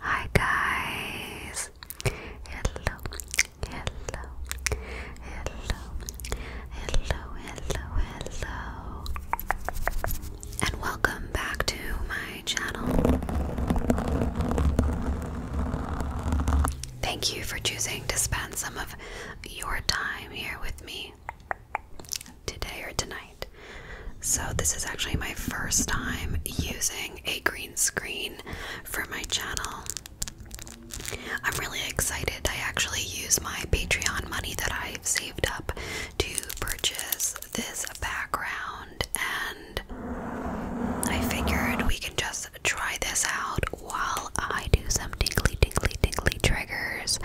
Hi guys! Hello, hello, hello, hello, hello, hello, and welcome back to my channel. Thank you for choosing to spend some of your time here with me today or tonight. So, this is actually my first time using a green screen for my channel. I'm really excited. I actually use my Patreon money that I've saved up to purchase this background, and I figured we can just try this out while I do some tingly, tingly, tingly triggers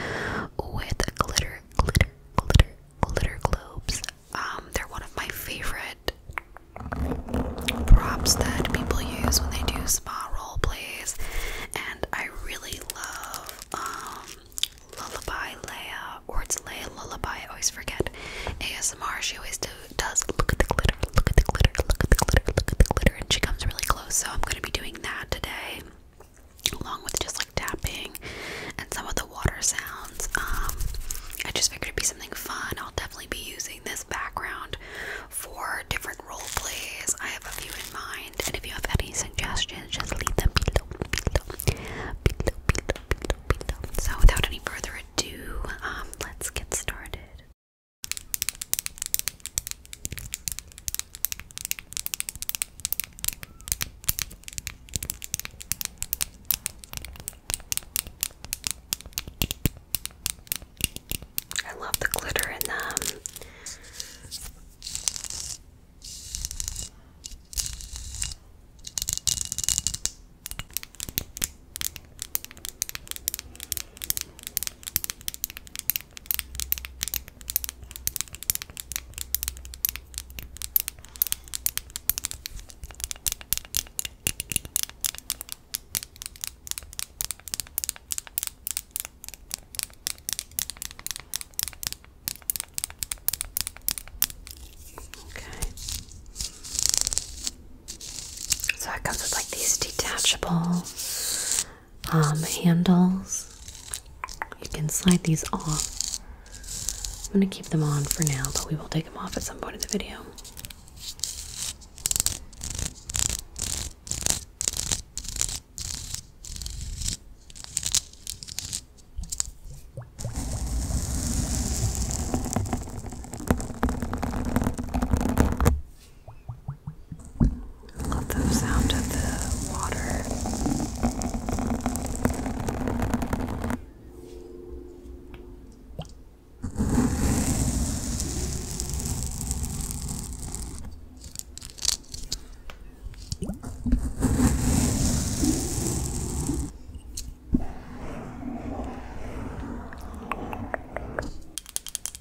with glitter, glitter, glitter glitter globes. Um, they're one of my favorite props that people use when they do spa role plays, and I really love um, Lullaby Leia, or it's Leia Lullaby. I always forget. ASMR. She always does look at the glitter, look at the glitter, look at the glitter, look at the glitter, and she comes really close. So I'm gonna be doing that today along with just like tapping and some of the water sounds. Um, I just figured it'd be something fun. I'll definitely be using this background for different role plays. I have a few in mind, and if you have any suggestions, just leave them below, So, without any further ado, um, let's get started. I love the glitter in them. Okay. So it comes with like these detachable um, handles. You can slide these off. I'm going to keep them on for now, but we will take them off at some point in the video. Love the sound of the water.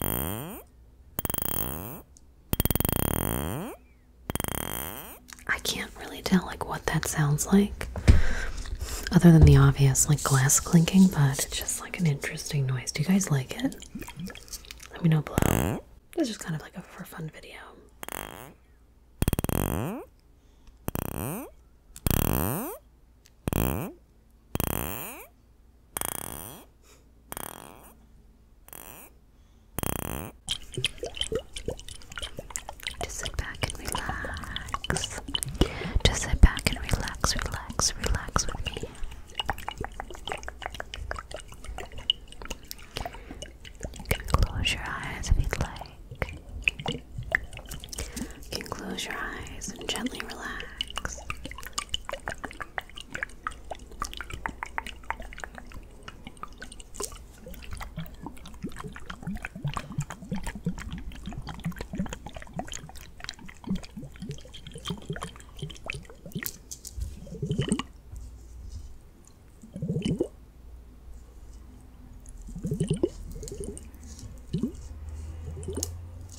I can't really tell like what that sounds like other than the obvious like glass clinking but it's just like an interesting noise. Do you guys like it? Let me know This is just kind of like a for fun video. Just sit back and relax. Just sit back and relax, relax, relax with me. You can close your eyes if you'd like. You can close your eyes and gently relax.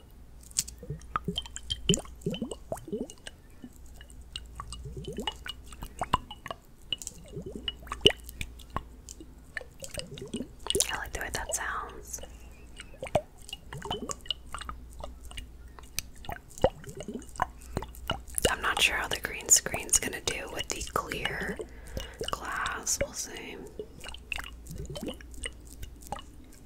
I like the way that sounds. I'm not sure how the green screen's gonna do with the clear glass. We'll see.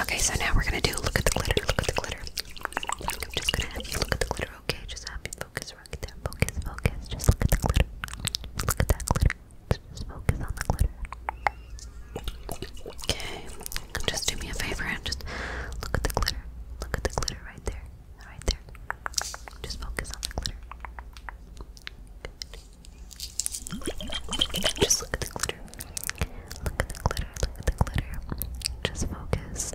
Okay, so now we're gonna do look at the glitter, look at the glitter. I'm just gonna look at the glitter, okay? Just have focus Focus, focus. Just look at the glitter. look at that glitter. Just focus on the glitter. Okay. Just do me a favor and just look at the glitter. Look at the glitter right there. Right there. Just focus on the glitter. Just look at the glitter. Look at the glitter. Look at the glitter. Just focus.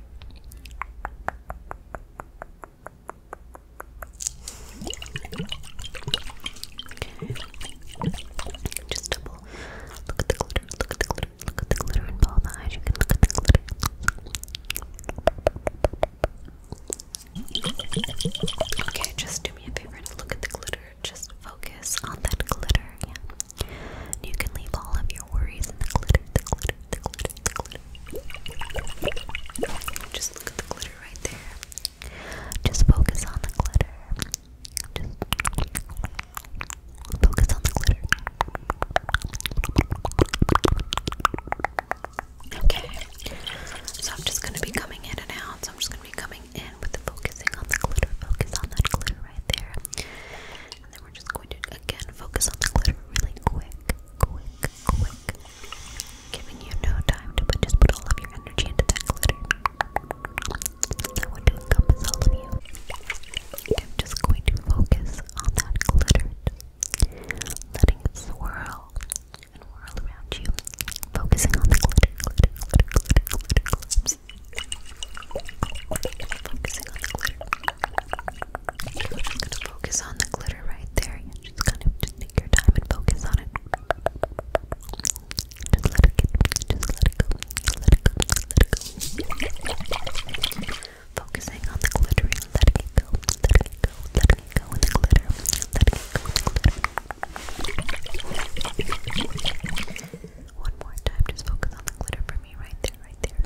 Just double look at the glitter, look at the glitter, look at the glitter in both eyes. You can look at the glitter. Okay, just do me a favor and look at the glitter. Just focus on that glitter. Yeah you can leave all of your worries in the glitter, the glitter, the glitter, the glitter. Just look at the glitter right there. Just focus on the glitter. Just focus on the glitter. Okay, so I'm just going to be coming in and out. So I'm just going to be coming in with the focusing on the glitter. Focus on that glitter right there. And then we're just going to again focus on the glitter really quick, quick, quick. Giving you no time to but just put all of your energy into that glitter. I to encompass all of you. I'm just going to focus on that glitter. Letting it swirl and whirl around you. Focusing on the glitter, glitter, glitter, glitter, glitter. i focusing on the glitter. I'm gonna focus on the glitter right there. You just kind of just take your time and focus on it. Just let it get, just let it go, let it go, let it go. Focusing on the glittering, letting it go, letting it go, letting it go in the glitter, letting it go in the glitter. One more time, just focus on the glitter for me, right there, right there.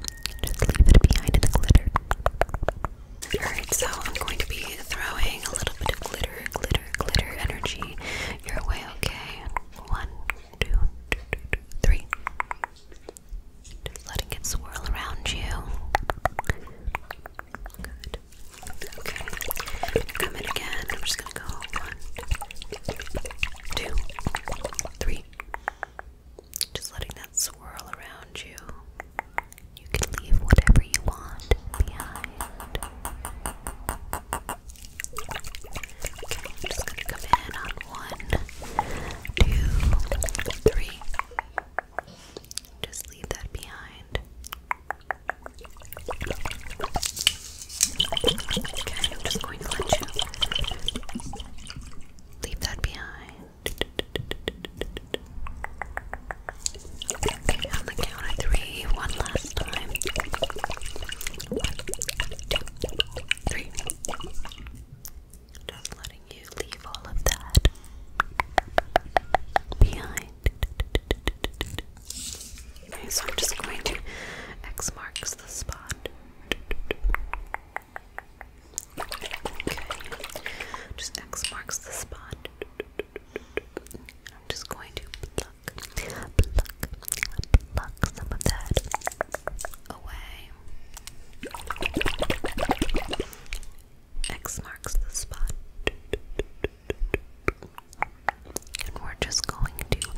Just leave it behind in the glitter. Alright, so I'm going to be throwing a little bit of glitter, glitter, glitter energy your way, okay? One, two, two, two, three. Just letting it swirl around you. Good. Okay. Come in again. I'm just gonna go one, two, three. Just letting that swirl around you. You can leave whatever you want behind. just gonna come in on one, two, three. Just leave that behind. Okay, I'm just going to let you leave that behind. Okay, on the count of three, one last time. One, two, three. Just letting you leave all of that behind. Okay, so I'm just going to X marks the spot. Okay, just X marks the spot. I'm just going to pluck, pluck, pluck some of that away. X marks the spot. And we're just going to pluck,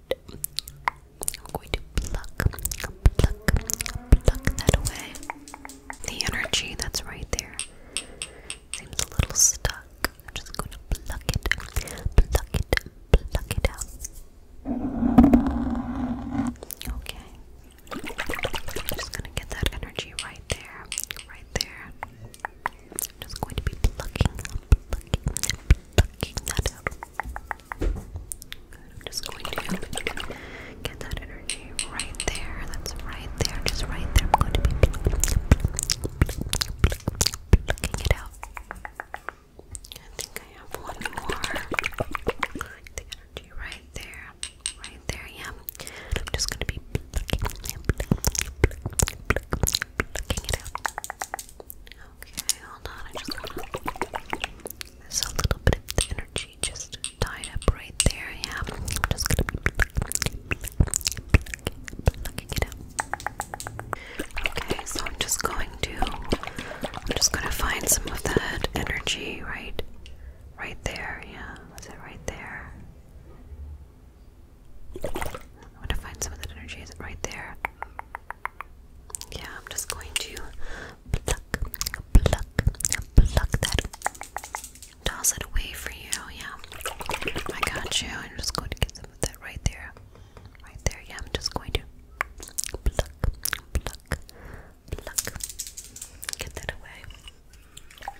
I'm going to pluck, pluck, pluck that away. The energy that's right there seems a little stuck. I'm just going to pluck it, pluck it, pluck it Okay. I'm just gonna get that energy right there, right there. I'm just going to be plucking, plucking, plucking that out. I'm just going to get that energy right there. That's right there, just right there. I'm going to be plucking, it out. I think I have one more. The energy right there, right there. Yeah. I'm just going to be plucking, plucking it out. Okay, hold on, I just want a little bit of energy just tied up right there, yeah. I'm just gonna plucking it out. Okay, so I'm just going to... I'm just gonna find some of that energy right... Right there, yeah. Was it right there? I want to find some of that energy. right there? Yeah, I'm just going to pluck, pluck, pluck that. Toss it away for you. Yeah, I got you. I'm just going to get some of that right there. Right there. Yeah, I'm just going to pluck, pluck, pluck. Get that away.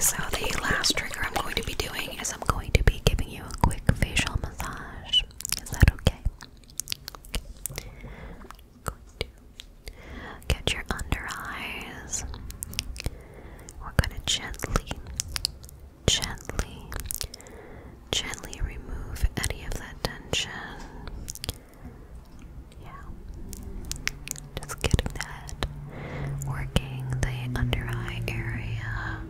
So the last trigger I'm going to be doing is I'm going to be giving you a quick facial massage. Is that okay? okay. get your under eyes. We're gonna gently, gently gently remove any of that tension. Yeah, just getting that working the under eye area.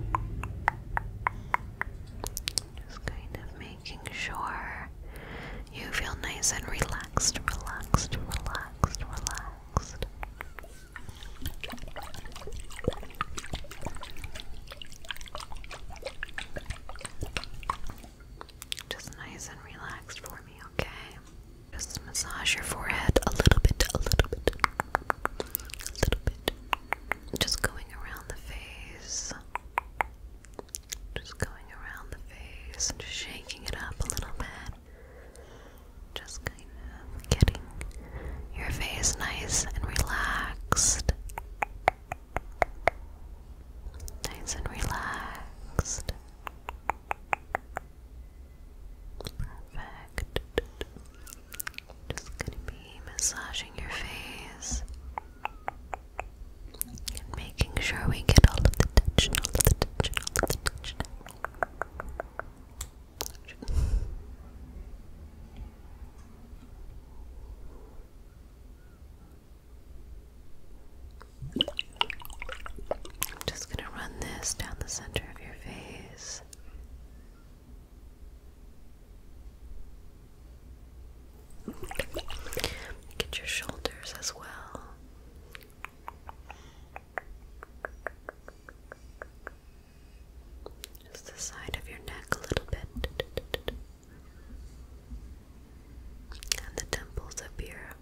Just kind of making sure you feel nice and relaxed, relaxed, relaxed, relaxed. Just nice and relaxed for me, okay? Just massage your forehead a little bit, a little bit, a little bit. Just going around the face. Just going around the face and just shaking it up a little bit. Just kind of getting your face nice and relaxed nice and relaxed. Perfect. Just gonna be massaging your face and making sure we get all of the tension, I'm just going to run this down the center of your face. Get your shoulders as well. Just the side of your neck a little bit and the temples up here.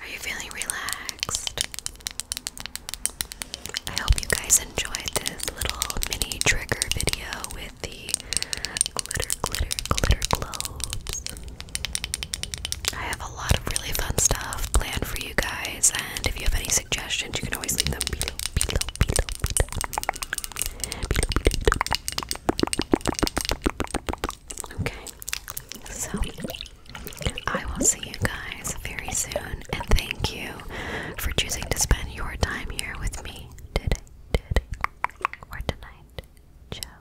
Are you feeling relaxed? I hope you guys enjoyed this little mini trigger video with the glitter, glitter, glitter globes. I have a lot of really fun stuff planned for you guys, and if you have any suggestions, you can always leave them below, Okay, so I will see you guys very soon, and thank you for choosing to spend your time here with me today, or tonight. Ciao.